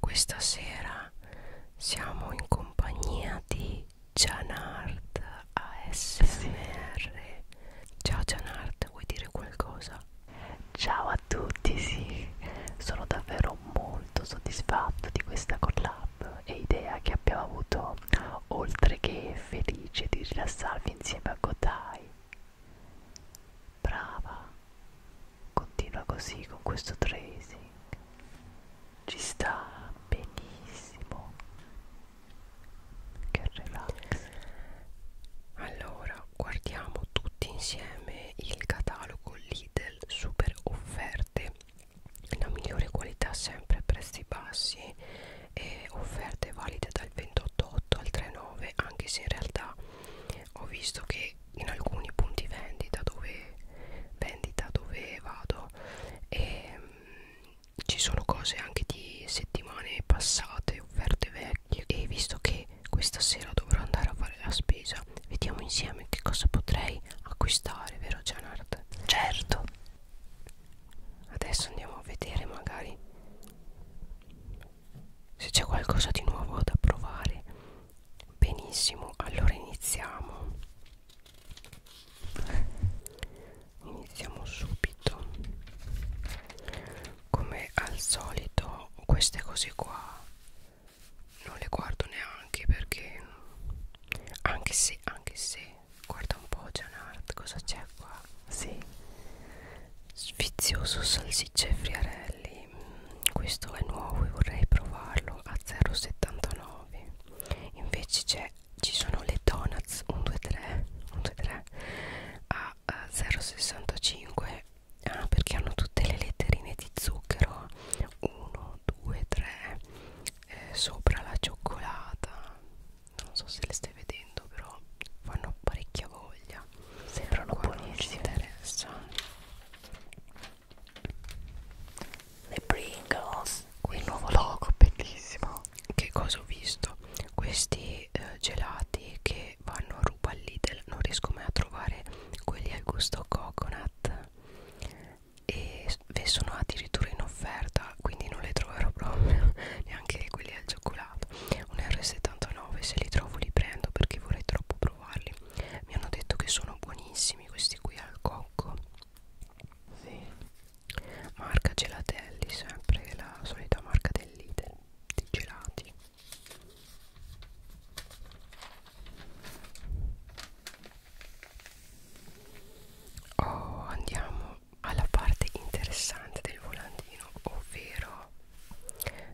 questa sera siamo in compagnia di Janard ASMR. Sì. Ciao Janard, vuoi dire qualcosa? Ciao a tutti, sì, sono davvero molto soddisfatto di questa collab e idea che abbiamo avuto, oltre che felice di rilassarvi insieme a Kotai brava continua così con questo tracing ci sta benissimo che relax allora guardiamo tutti insieme il catalogo Lidl super offerte la migliore qualità sempre a prezzi bassi e offerte valide dal 28,8 al 3,9 anche se in realtà ho visto che in alcuni punti vendita dove vendita dove vado e ehm, mh, ci sono cose anche di settimane passate offerte vecchie e visto che questa sera dovrò andare a fare la spesa vediamo insieme che cosa potrei acquistare vero Janard? certo adesso andiamo a vedere magari se c'è qualcosa di nuovo da provare benissimo allora iniziamo iniziamo subito come al solito queste cose qua non le guardo neanche perché anche se anche se guarda un po' Janart cosa c'è qua sì sfizioso salsicce e friarelli mm, questo è nuovo e vorrei provarlo a 0,79 invece c'è ci sono le donuts 1 2 3 1 2 3 a 0,65 eh, ah, perché hanno tutte le letterine di zucchero 1 2 3 eh, sopra la cioccolata non so se le stai vedendo vedendo però fanno parecchia voglia sembrano buonissime interessa le Pringles il nuovo logo bellissimo che cosa ho visto questi eh, gelati che vanno a ruba al Lidl non riesco mai a trovare quelli al gusto coconut e sono addirittura in offerta quindi non le troverò proprio neanche quelli al cioccolato articolata un R79 se li trovo li prendo perché vorrei troppo provarli mi hanno detto che sono buonissimi questi qui al cocco sì. marca gelatelli sempre la solita marca del leader di gelati Oh, andiamo alla parte interessante del volantino, ovvero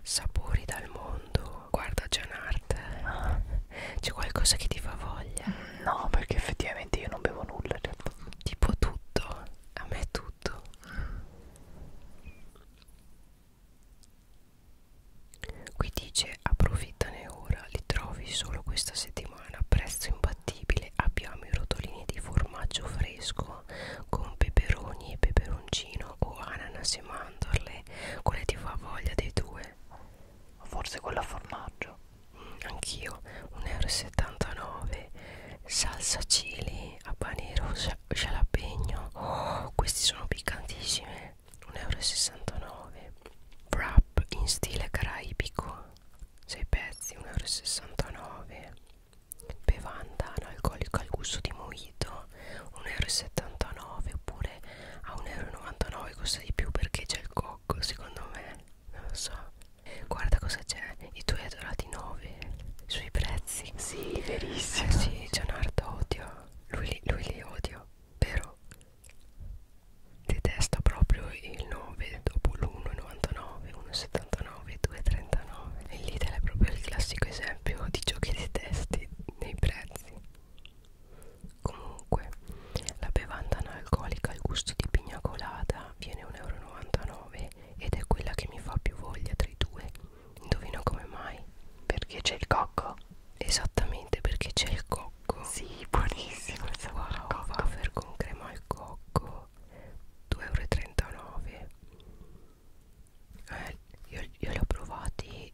sapori dal mondo guarda Gianart ah. c'è qualcosa che ti fa voglia mm, no perché effettivamente io non bevo nulla in realtà. tipo tutto a me è tutto qui dice approfittane ora li trovi solo questa settimana a prezzo imbattibile abbiamo i rotolini di formaggio fresco uovo con peperoni e peperoncino o ananas e mandorle quale ti fa voglia dei due? forse quella formaggio mm, anch'io 1,79 euro salsa chili habanero jalapeno oh, questi sono piccantissimi 1,69 euro wrap in stile caraibico 6 pezzi 1,69 euro bevanda analcolica al gusto di mojito 1,79 euro oppure a 1,99 euro costa di più perché c'è il cocco secondo me non lo so guarda cosa c'è i tuoi adorati 9 sui prezzi sì verissimo eh sì Gianardo odio lui, lui li odio vero detesta proprio il 9 dopo l'1,99 1,79 2,39 2,39 e Lidl è proprio il classico esempio di ciò che detesti nei prezzi comunque la bevanda analcolica al gusto di pigna colada viene 1,99 euro ed è quella che mi fa più voglia tra i due indovina come mai perché c'è il cocco esattamente perché c'è il cocco sì buonissimo il sapore wow, cocco. wafer con crema al cocco euro 2,39 euro eh, io, io li ho provati eh,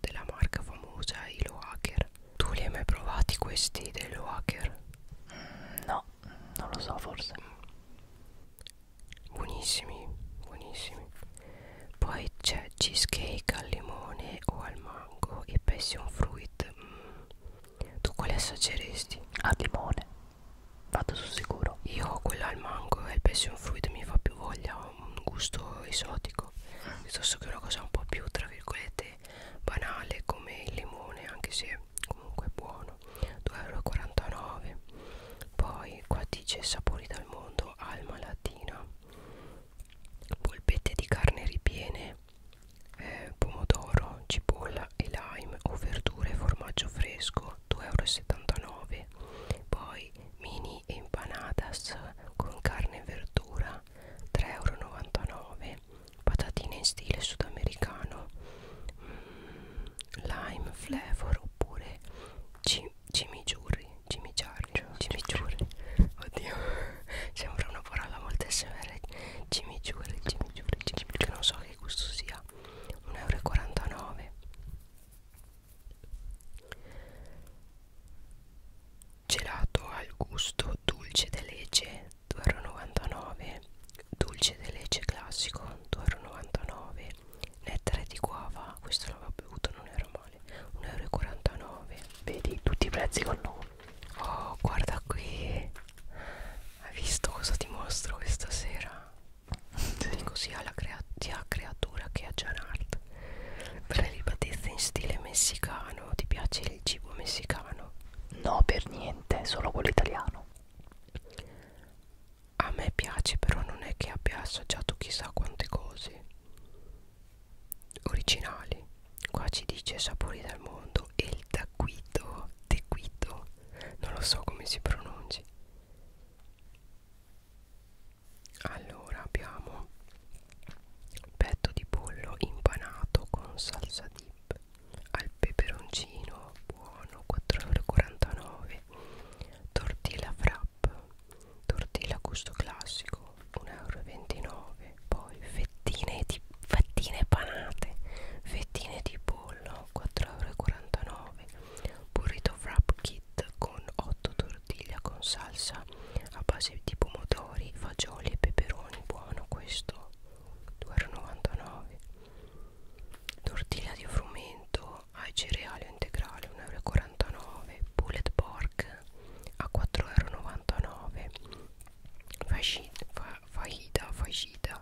della marca famosa Hilo Hacker tu li hai mai provati questi dello Hacker? Mm, no non lo so forse buonissimi buonissimi poi c'è cheesecake al limone o al mango e passion fruit mm. tu quale assaggeresti? al limone vado sul sicuro io quella al mango e il passion fruit mi fa più voglia un gusto esotico piuttosto che una cosa un po' più tra virgolette banale come il limone anche se comunque è buono 2,49 euro poi qua dice sapori dal mondo alma latina polpette di carne ripiene eh, pomodoro, cipolla e lime o verdure e formaggio fresco 2,79 euro poi mini empanadas con carne e verdura 3,99 euro patatine in stile sudamericano mm, lime flavor oppure cim cimigiurri cimigiarri cimigiurri oddio sembra una parola molto severa cimigiurri migliore chip che non so che gusto sia 1,49 euro gelato al gusto dolce de leche 2,99 euro dolce de leche classico 2,99 euro nettare di guava questo l'avevo bevuto non era male 1,49 euro vedi tutti i prezzi con nome Oh, guarda qui. Hai visto cosa ti mostro questa sera? Sì. Dico sia la sia creatura che a Janart. Prelibatezza in stile messicano. Ti piace il cibo messicano? No, per niente, solo quello italiano. A me piace, però non è che abbia assaggiato chissà quante cose originali qua ci dice sapori dal mondo e il taquito tequito non lo so come si pronunci allora abbiamo petto di pollo impanato con salsa dip al peperoncino buono 4,49 tortilla frapp tortilla gusto classico 1,29 euro poi fettine di fettine panate fettine di pollo 4,49€ burrito wrap kit con 8 tortiglia con salsa a base di pomodori fagioli e peperoni buono questo 2,99€ tortiglia di frumento ai cereali integrale 1,49€ bullet pork a 4,99€ fajita, fajita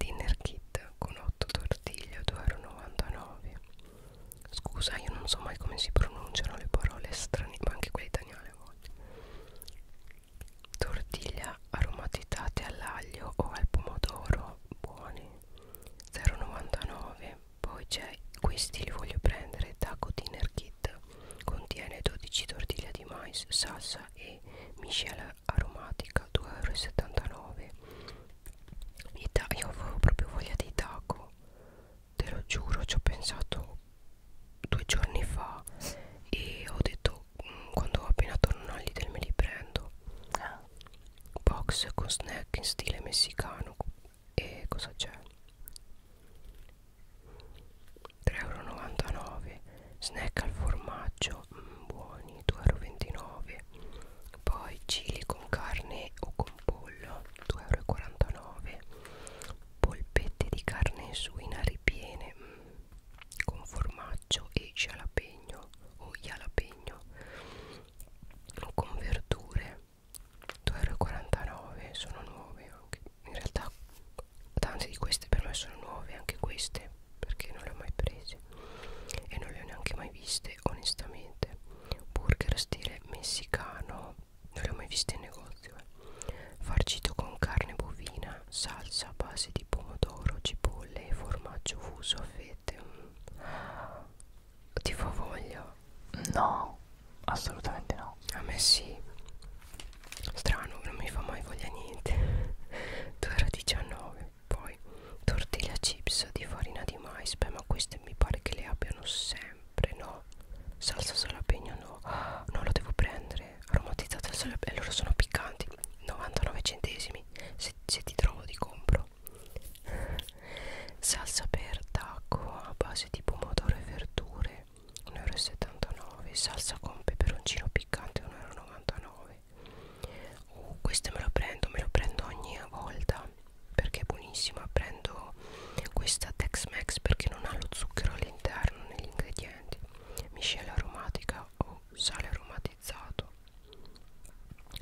dinner kit con 8 tortiglie 2,99 scusa io non so mai come si pronunciano le parole strane ma anche quelle italiane a volte tortiglia aromatizzate all'aglio o al pomodoro buone 0,99 poi c'è questi li voglio prendere taco dinner kit fetta contiene 12 tortiglie di mais, salsa e miscela aromatica 2,79 euro io avevo proprio voglia di taco te lo giuro ci ho pensato due giorni fa e ho detto mm, quando appena torno all'Idel me li prendo ah. box con snack in stile messicano e cosa c'è 3,99€ snack al formaggio mm, buoni 2,29€ poi chili con carne o con pollo 2,49€ polpette di carne suina ripiene mm, con formaggio e jalapeno o jalapeno con verdure 2,49€ sono nuove anche in realtà tante di queste per me sono nuove anche queste perché non le ho mai prese e non le ho neanche mai viste onestamente burger stile messicano non le ho mai viste in negozio eh. farcito con carne bovina salsa a base di pomodoro cipolle e formaggio fuso a fette mm. ti fa voglia no Assolutamente no. A me sì. Strano, non mi fa mai voglia niente. 2,19 Poi tortilla chips di farina di mais. Beh, ma queste mi pare che le abbiano sempre, no? Salsa salapegno no. Ah, non lo devo prendere. Aromatizzata al salapegno. Loro allora sono piccanti. 99 centesimi. Se, se ti trovo ti compro. Salsa per tacco a base di pomodoro e verdure 1,79€ salsa con peperoncino piccante 1,99€ uh, questa me la prendo me la prendo ogni volta perché è buonissima prendo questa Tex Mex perché non ha lo zucchero all'interno negli ingredienti miscela aromatica o oh, sale aromatizzato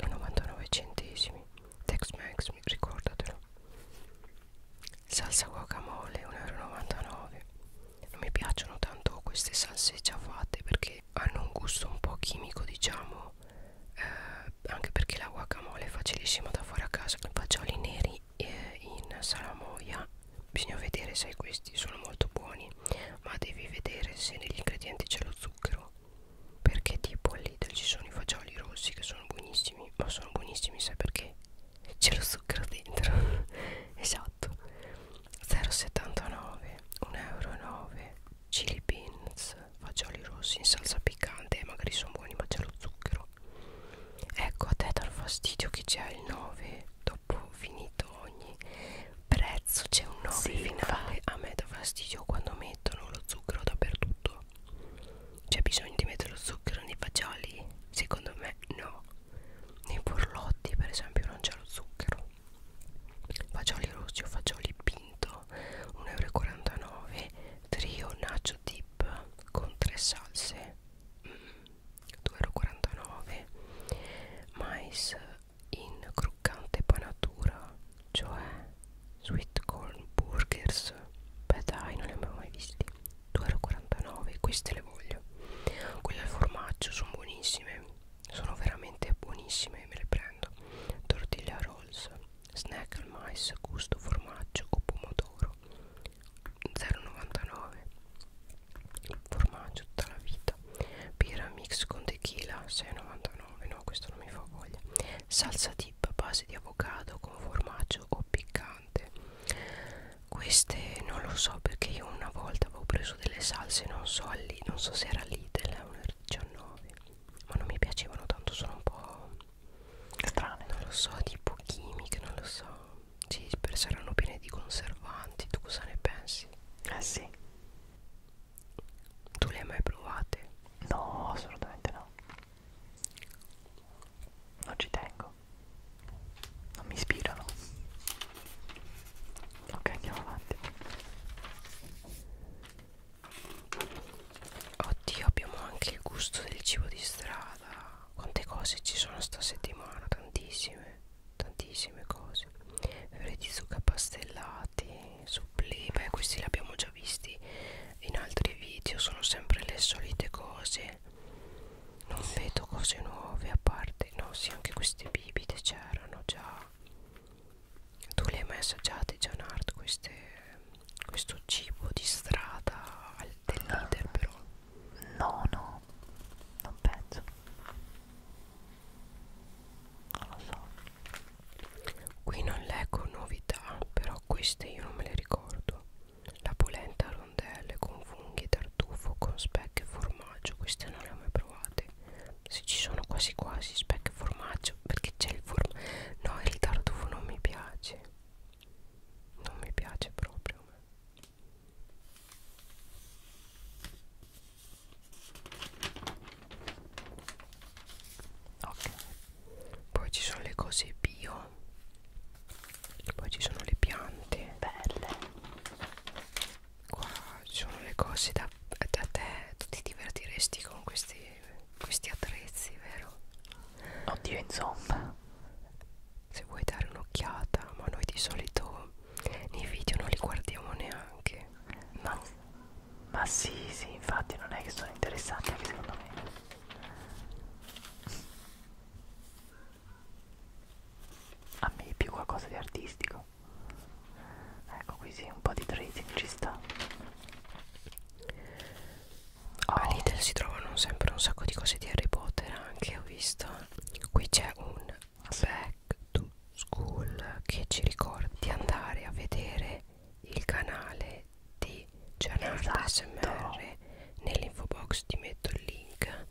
a 99 centesimi Tex Mex ricordatelo salsa guacamole 1,99 euro non mi piacciono tanto queste salse già fatte perché hanno un gusto un po' chimico diciamo eh, anche perché la guacamole è facilissima da fare a casa fagioli neri eh, in salamoia bisogna vedere se questi sono molto buoni ma devi vedere se negli ingredienti c'è lo zucchero perché tipo all'Idel ci sono i fagioli rossi che sono buonissimi ma sono buonissimi sai perché? c'è lo zucchero dentro esatto 0,79 1,9 euro chili beans fagioli rossi in salsa piccante magari sono buoni ma c'è lo zucchero ecco a te dal fastidio che c'è il 9 dopo finito ogni prezzo c'è un 9 sì, finale va. a me dà fastidio quando mettono lo zucchero dappertutto c'è bisogno di mettere lo zucchero nei fagioli? Secondo me no. Nei burlotti per esempio non c'è lo zucchero. Fagioli rossi o fagioli pinto, 1,49 euro. Trio nacho dip con tre salse, 2,49 mm, euro. Mais in croccante panatura, cioè sweet corn burgers beh dai non li abbiamo mai visti 2,49 queste le voglio quelle al formaggio sono buonissime sono veramente buonissime me le prendo tortilla rolls snack al mais gusto formaggio o pomodoro 0,99 formaggio tutta la vita birra mix con tequila 6,99 no questo non mi fa voglia salsa di dip a base di avocado con formaggio o piccante queste non lo so perché io una volta avevo preso delle salse non so, lì, non so se era Lidl 19 ma non mi piacevano tanto sono un po' strane non lo so tipo chimiche non lo so sì saranno piene di conservanti tu cosa ne pensi? eh sì tu le hai mai provate? no assolutamente no non ci tengo non mi ispirano ok andiamo avanti oddio abbiamo anche il gusto del cibo di strada quante cose ci sono sta settimana tantissime tantissime cose fiori di zucca pastellati sublime questi li abbiamo già visti in altri video sono sempre le solite cose non sì. vedo cose nuove a parte no sì anche queste bibite c'erano già tu le hai mai assaggiate Gianard queste questo cibo di strada del eh, leader però no no non penso non lo so Qui non leggo novità, però queste io non me le ricordo. La polenta a rondelle con funghi e tartufo con specchio e formaggio, queste non le ho mai provate. Se ci sono quasi quasi specchio e formaggio, perché c'è il formaggio. No, il tartufo non mi piace. Non mi piace proprio ok poi ci sono le cose bio poi ci sono le piante belle qua ci sono le cose da, da te tu ti divertiresti con questi, questi attrezzi vero? oddio insomma se vuoi dare un'occhiata ma noi di solito nei video non li guardiamo neanche no ma sì, sì, infatti non è che sono interessanti anche secondo me. A me più qualcosa di artistico. Ecco qui sì, un po' di tracing ci sta. Oh. A Lidl si trovano sempre un sacco di cose di Harry Potter anche, ho visto. Qui c'è un back to school che ci ricorda di andare a vedere il canale di Gianardo ASMR esatto. nell'info box ti metto il link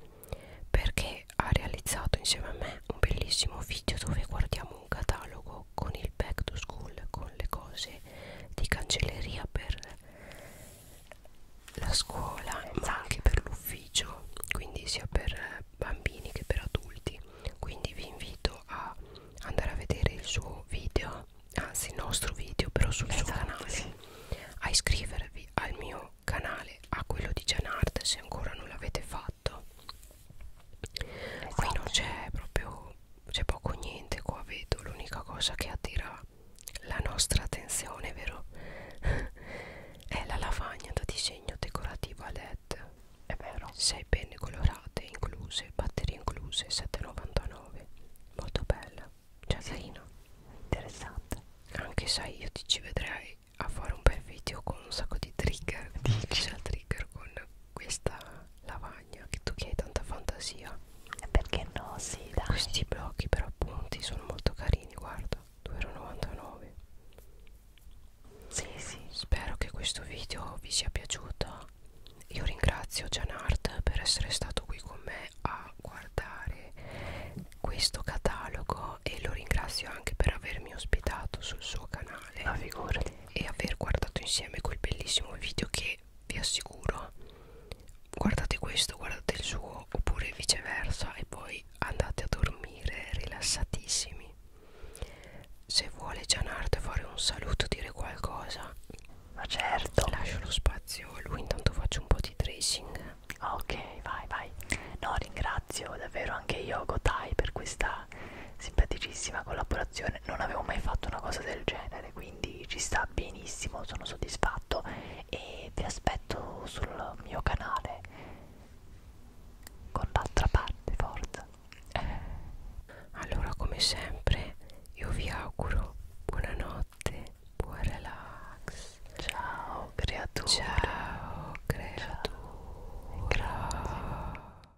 perché ha realizzato insieme a me un bellissimo video dove guardiamo un catalogo con il back to school con le cose di cancelleria per la scuola esatto. ma anche per l'ufficio quindi sia per bambini che per adulti quindi vi invito a andare a vedere il suo video anzi il nostro video però sul esatto, suo canale sì. a iscrivervi al mio canale a quello di Janart se ancora non l'avete fatto esatto. qui non esatto. c'è proprio c'è poco niente qua vedo l'unica cosa che attira la nostra attenzione vero è la lavagna da disegno decorativo a led è vero. 6 penne colorate incluse, batterie incluse, 7,99. Molto bella. Cioè, sì. carina. Interessante. Anche sai, io ti ci vedrei a fare un bel video con un sacco di trigger. Dici al trigger con questa lavagna che tu che hai tanta fantasia. E perché no? Sì, dai. Questi blocchi per appunti sono molto carini, guarda. 2,99 euro. Sì, sì. Spero che questo video vi sia piaciuto. Io ringrazio Gianart per essere stato qui con me a guardare questo catalogo e lo ringrazio anche per avermi ospitato sul suo canale. Ma figurati. E aver guardato insieme quel bellissimo video che vi assicuro guardate questo, guardate il suo oppure viceversa e poi andate a dormire rilassatissimi. Se vuole Gianardo fare un saluto, dire qualcosa Ma certo Lascio lo spazio a lui, intanto faccio un po' di tracing Ok, vai, vai No, ringrazio davvero anche io Gotai per questa simpaticissima collaborazione Non avevo mai fatto una cosa del genere, quindi ci sta benissimo, sono soddisfatto E vi aspetto sul mio canale con l'altra parte, forza allora come sempre io vi auguro buonanotte buon relax ciao creatura ciao creatura ciao.